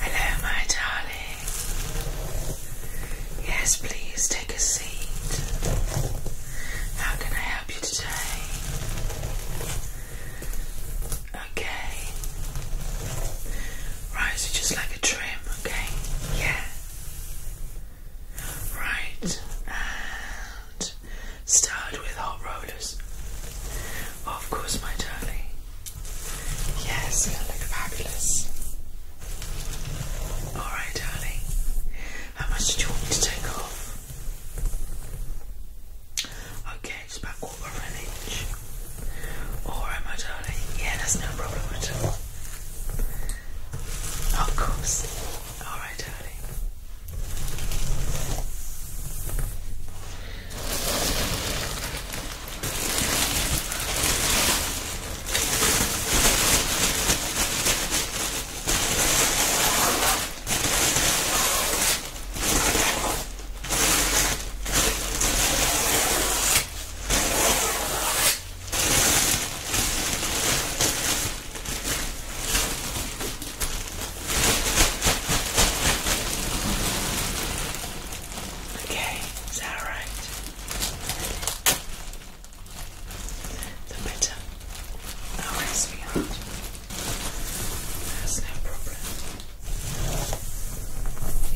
Hello, my darling. Yes, please take a seat. How can I help you today? Okay. Right, so just like a trim, okay? Yeah. Right, and start with hot rollers. Of course, my darling. Yes, look fabulous. Alright, darling. How much do you want me to take off? Okay, just about quarter of an inch. Alright, my darling. Yeah, that's no problem at all. Of course. All right, darling. Okay, is that all right? The better. All right, sweetheart. That's no problem.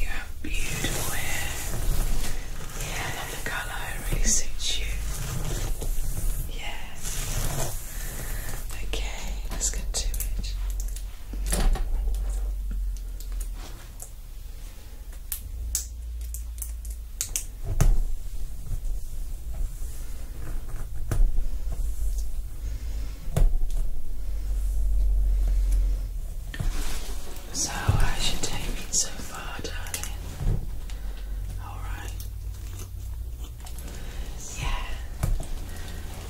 You have beautiful hair. Yeah, love the colour, it really suits you. Yeah. Okay, let's get to it. So, how's your day been so far, darling? All right. Yeah.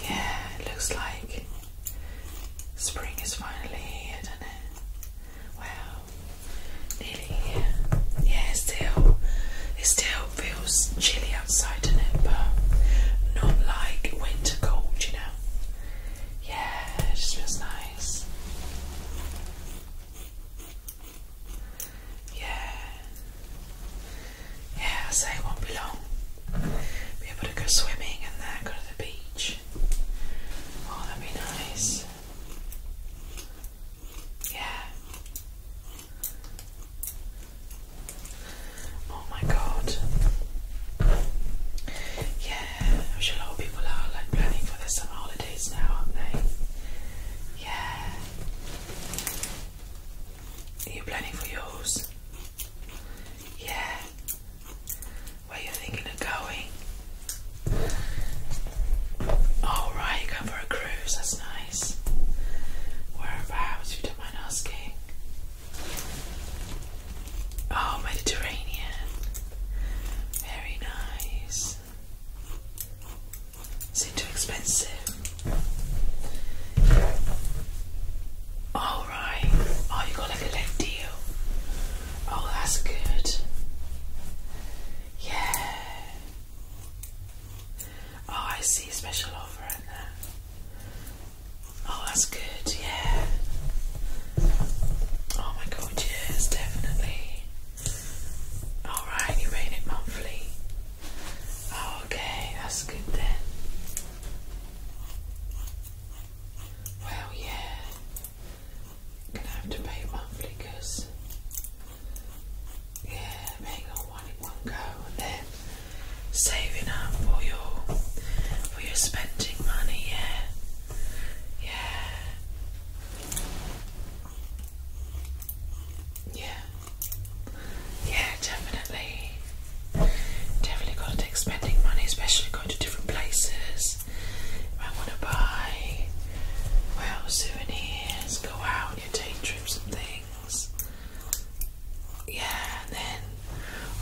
Yeah. It looks like spring is finally here, doesn't it? Wow. Nearly here. Yeah. still. It still feels chilly outside, doesn't it? But not like winter cold, you know. Yeah. It just feels nice. Yeah. Yeah, it won't be long. Be able to go swimming and then go to the beach. Oh, that'd be nice. Yeah. Oh my god. Yeah, I'm a lot of people are like planning for this summer holidays now, aren't they? Yeah. Are you planning for yours? Yeah. Where you thinking of going? oh, right, going for a cruise. That's nice. Whereabouts? you don't mind asking. Oh, Mediterranean. Very nice. Seem too expensive. All oh, you got like a leg deal. Oh, that's good. Yeah. Oh, I see special offer in there. Oh, that's good. Yeah. Oh my God. Yes, definitely. Alright, you're it monthly. Oh, okay, that's good then. Well, yeah, gonna have to pay monthly because, yeah, paying all in one go and then saving up for your for your spending money. Yeah, yeah. Yeah. Yeah, definitely. Definitely got to take spending money, especially going to different places. If want to buy, well, souvenirs, go out, you trips and things. Yeah, and then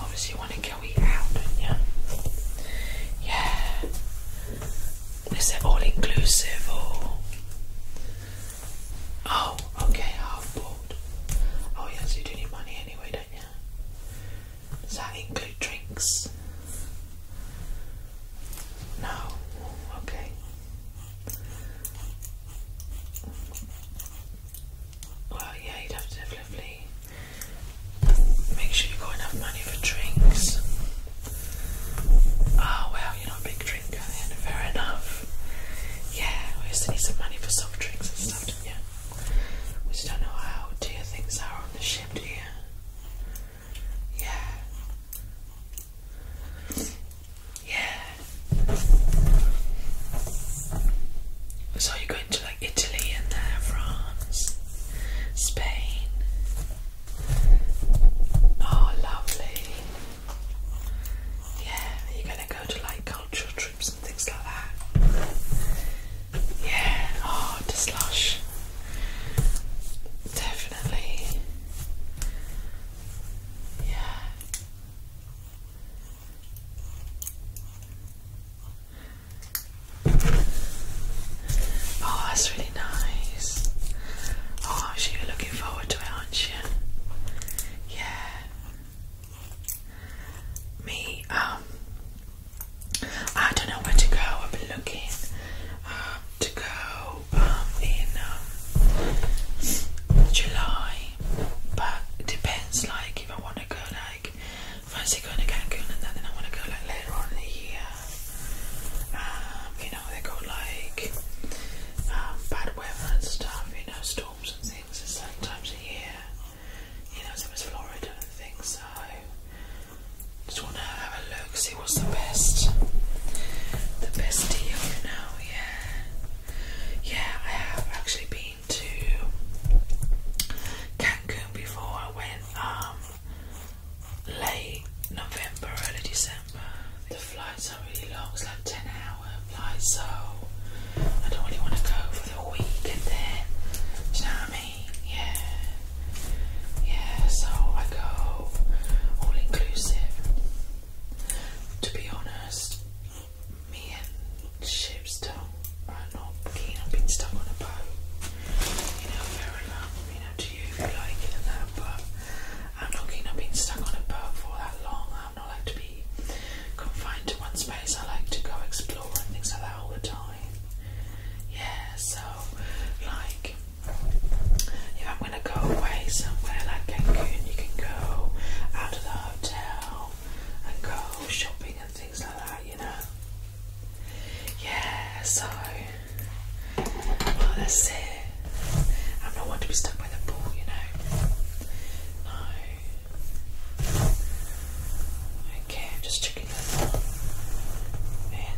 obviously you want to go eat out, don't you? Yeah. Is it all inclusive Oh, okay, half board. Oh yes, you do need money anyway, don't you? Does that include drinks? No. Okay. Well, yeah, you'd have to definitely Make sure you got enough money for drinks. Oh ah, well, you're not a big drinker then, fair enough. Yeah, we used need some money for soft drinks and stuff, didn't you? We don't know how dear things are on the ship, do you? Yeah. Yeah. So you're going to like Italy and there, uh, France, Spain. Oh, lovely. Yeah, you gonna go to like cultural trips and things like that. Yeah, oh, to slush. Definitely. Yeah. Oh, that's really nice. Oh, you're looking forward to it, aren't you? Yeah. Me, um, I don't know where to go. I've looking um, to go um, in um, July, but it depends. Like, if I want to go, like fancy going to Cancun and then I want to go like later on in the year. Um, you know, they go like um, bad weather and stuff, you know, storms and things at certain times of year. You know, so it was Florida and things, so just want to have a look, see what's the best, the best deal, you know, yeah. Yeah, I have actually been to Cancun before I went, um, late November, early December. The flights are really long, it's like 10 hour flights, so I don't really want to go for the week and then, do you know what I mean? Yeah. Yeah, so I go all inclusive. To be honest, me and Shipstone are I'm not keen on being stuck on a boat. You know, fair you know, to you if you like it and that, but I'm not keen on being stuck on a boat for that long. I'm not like to be confined to one space. I like to go explore and things like that all the time. Yeah, so, like, if I'm gonna go away somewhere like Cancun, you can go out of the hotel and go shopping and things like that. Yeah, so well that's it. I'm not one to be stuck by the pool, you know. No. Okay, I'm just checking Man.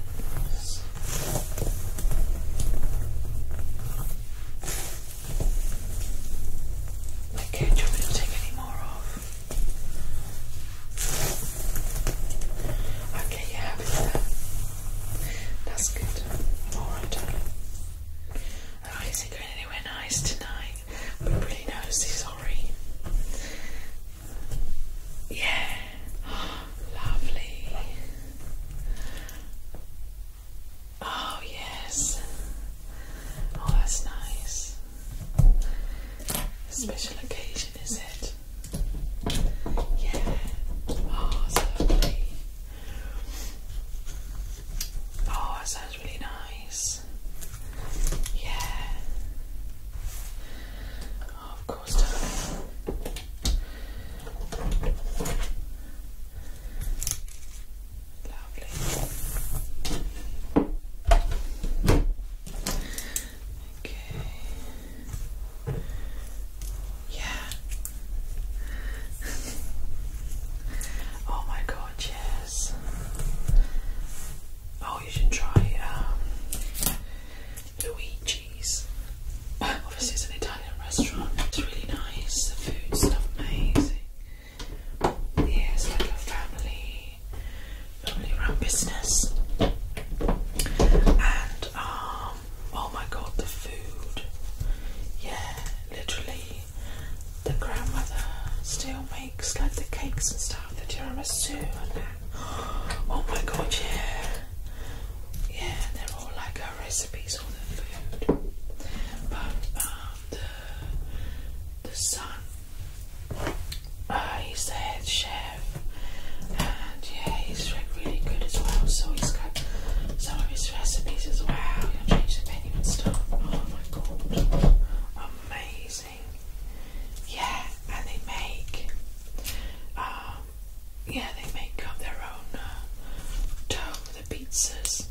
Okay, do you want take any more off? Okay, you're happy with That's good. Alright. Oh, isn't going anywhere nice tonight. But really noticeably sorry. Yeah. lovely. Oh, yes. Oh, that's nice. A special occasion, is it? Yeah. Oh, lovely. Oh, that sounds really nice. Yeah. Oh, of course, darling. Lovely. Okay. Yeah. oh my god, yes. Oh, you should try um, Luigi's. Obviously, it's an Italian restaurant. It's really nice. The food's amazing. Yeah, it's like family family run business. And um, oh my god, the food. Yeah, literally, the grandmother still makes like the cakes and stuff, the tiramisu and that. Oh my god, yeah. Yeah, they're all like our recipes, all the food. But um, the, the son uh, ah, he's the head chef, and yeah, he's really good as well. So he's got some of his recipes as well. you will change the menu and stuff. Oh my god, amazing! Yeah, and they make, um, yeah, they make up their own uh, dough for the pizzas.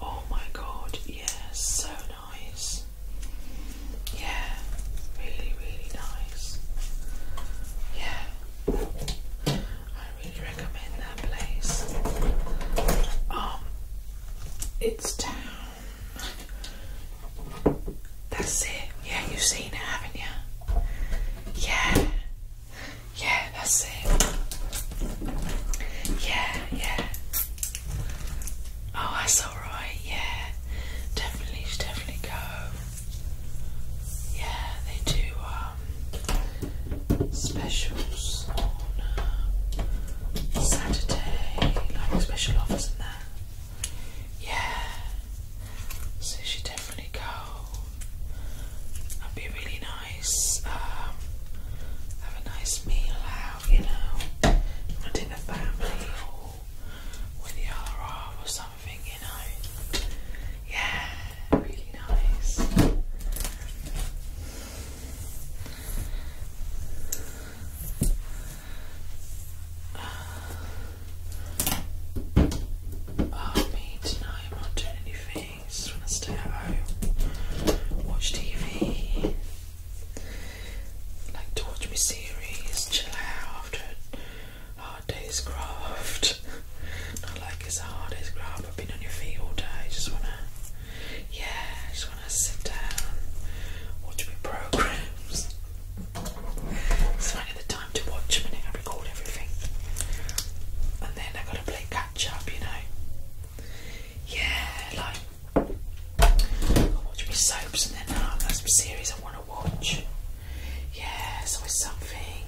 Oh my god, yeah, so nice. Yeah, really, really nice. Yeah, I really recommend that place. Um, it's down. That's it. Yeah, you've seen it, haven't you? Yeah, yeah, that's it. Yeah, yeah. Oh, that's alright, yeah. Definitely, should definitely go. Yeah, they do um, specials on uh, Saturday, like special offers and that. Yeah, so you definitely go. That'd be really nice. Um, have a nice meal you know, wanting a family or with your arm or something, you know. Yeah, really nice. Uh, oh, me tonight, I'm not doing anything. Just want to stay at home, watch TV, like to watch my series, chill out after a hard day's graft. Not like it's a hard day's graft, I've been on your feet all day, just wanna, yeah, just wanna sit down, watch my programs. So I the time to watch them and I record everything. And then I gotta play catch up, you know yeah, like I watch my soaps and then oh, that's my series I want to watch. Yeah, it's something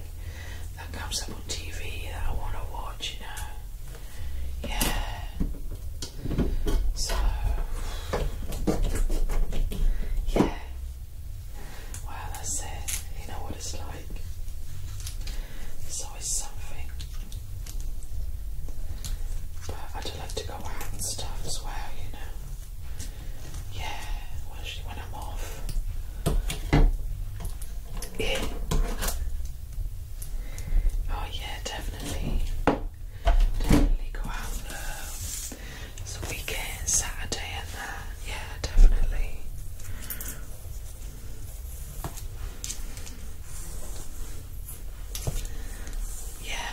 that comes up on TV that I want to watch, you know. Yeah. So yeah. Wow, that's it. You know what it's like. So always something. But I do like to go out and stuff as well, you know. Yeah, especially when I'm off. Yeah. Oh yeah, definitely. Definitely go out it's um, a weekend, Saturday and that. Yeah, definitely. Yeah.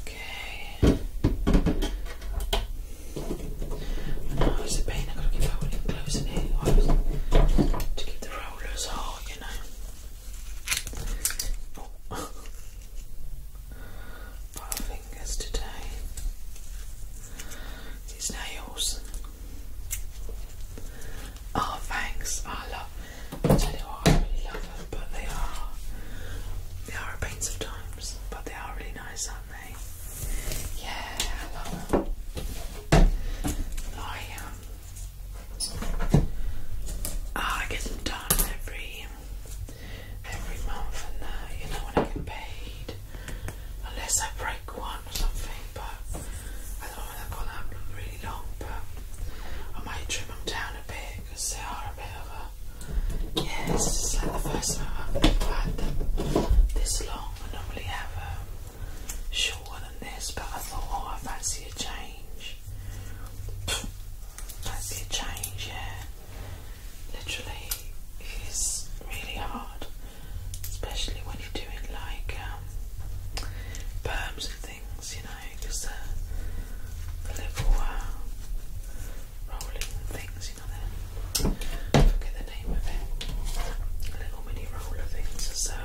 Okay. Oh, it's a pain. I gotta keep holding gloves in here. to keep the rollers hard, you know. Oh. fingers today. His nails. Oh, thanks. I love. I tell you what, I really love them, but they are they are a pain sometimes. But they are really nice, aren't they? Yeah, I love them. I um, ah, I get them done every every month, and uh, you know when I get paid, unless I break one or something. But I don't know whether I've got really long, but I might trim them down a bit because they are a bit of a. yes. it's just like the first time I've ever had them this long. I normally have um, shorter than this, but I thought, oh, I fancy a change. fancy a change, yeah literally is really hard, especially when you're doing like um, perms and things, you know, because the, little uh, rolling things, you know, forget the name of it, little mini roller things are so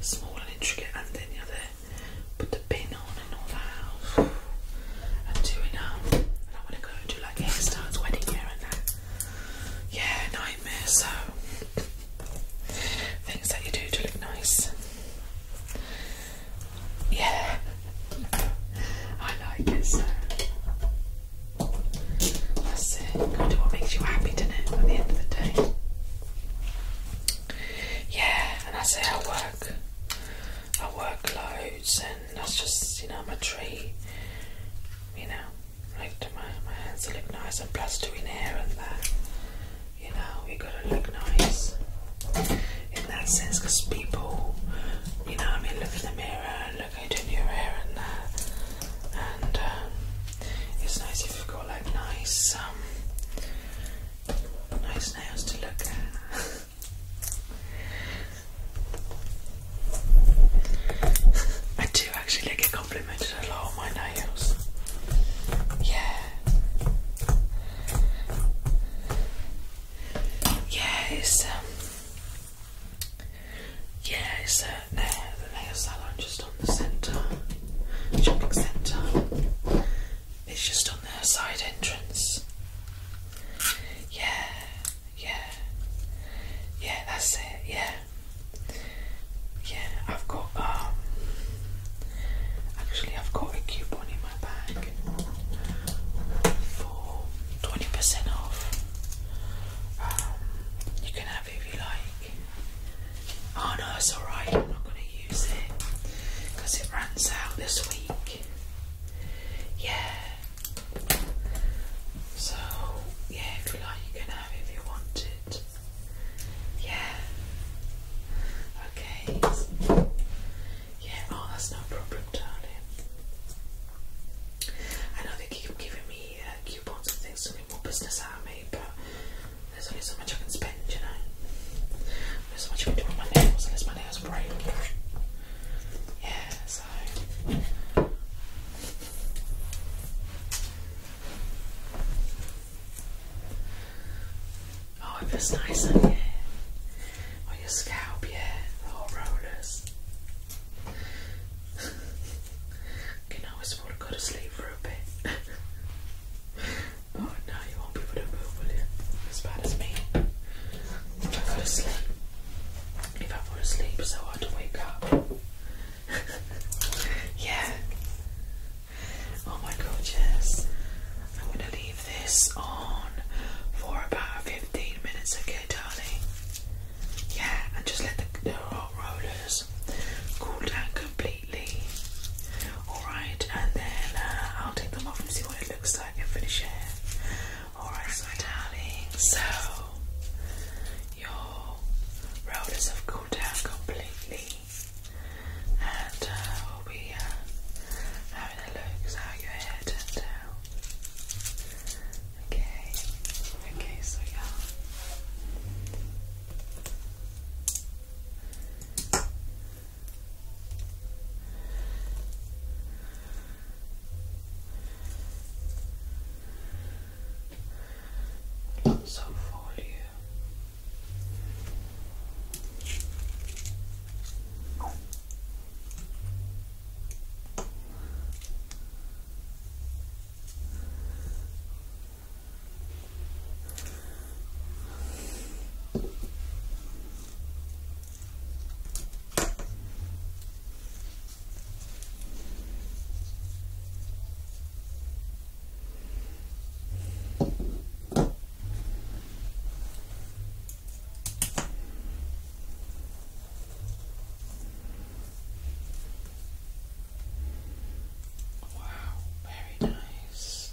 small and intricate, and then you're there, put the pin on and all that, and doing um, and I want to go and do like hairstyles, wedding hair and that yeah, nightmare. So things that you do to look nice. Yeah, I like it. So that's it. Kind what makes you happy, doesn't it? At the end of the day. Yeah, and that's it. I work. I work loads and that's just you know my tree. You know, like my my hands to look nice, and plus doing hair and that. You know, we gotta look nice in that sense, because people, you know, I mean, look in the mirror look into your hair and that, and um, it's nice if you've got like nice, um, nice nails to look at. I do actually get complimented a lot on my nails. Yeah. Yeah, it's um, uh, the nail salon just on the centre, shopping centre. It's just on the side entrance. Yeah, yeah. Yeah, that's it. Yeah. Yeah, I've got um actually I've got a coupon in my bag for 20% off. Um, you can have it if you like. Oh no, it's alright, I'm not gonna use it because it runs out this week. Yeah, so, yeah, if you like, you can have if you want it. Yeah. Okay. Yeah, oh, that's no problem, darling. I know they keep giving me uh, coupons and things to make more business out of me, but there's only so much I can spend, you know. There's so much I can do with my nails unless my nails break. Yeah, so Oh, it feels nice in here On your scalp, yeah. Raw oh, rollers. you can always want to go to sleep for a bit. oh no, you won't be able to move, will you? As bad as me. I go to sleep if I fall asleep so hard to wake up. yeah. Oh my god, I'm gonna leave this on for about 15 minutes, okay, darling? Yeah, and just let the, hot rollers cool down completely. Alright, and then uh, I'll take them off and see what it looks like and finish it. Alright, my darling, so your rollers have cooled down completely, and uh, we'll be uh, having a look so your hair turned out. Okay, okay, so yeah. Lots of volume. Wow, very nice.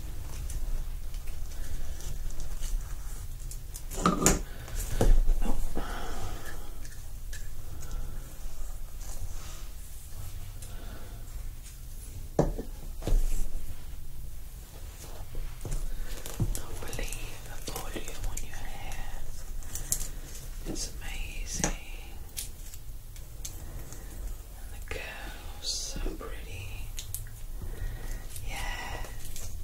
No. Normally, the volume on your hair is amazing. And the curls, so pretty. Yes.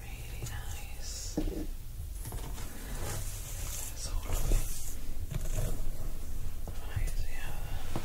Really nice. That's all of it. Right, there.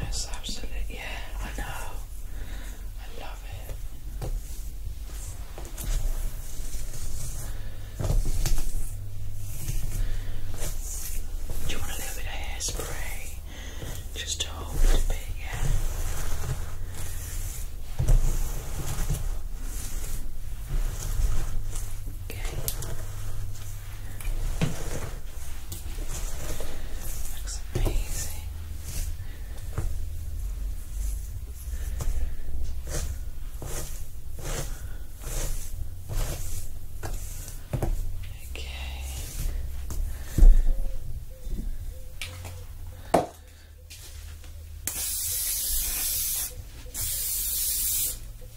That's absolute. Yeah, I know. I love it. Do you want a little bit of hairspray? Just to hold bit, yeah. Okay. Looks amazing. Okay.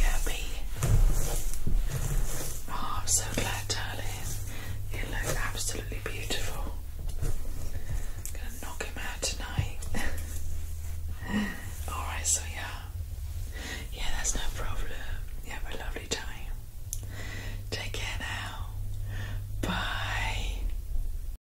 Yeah, B. Oh, I'm so glad, darling. You look absolutely beautiful. gonna knock him out tonight. Alright, so yeah. Yeah, that's no problem. You have a lovely time. Take care now. Bye.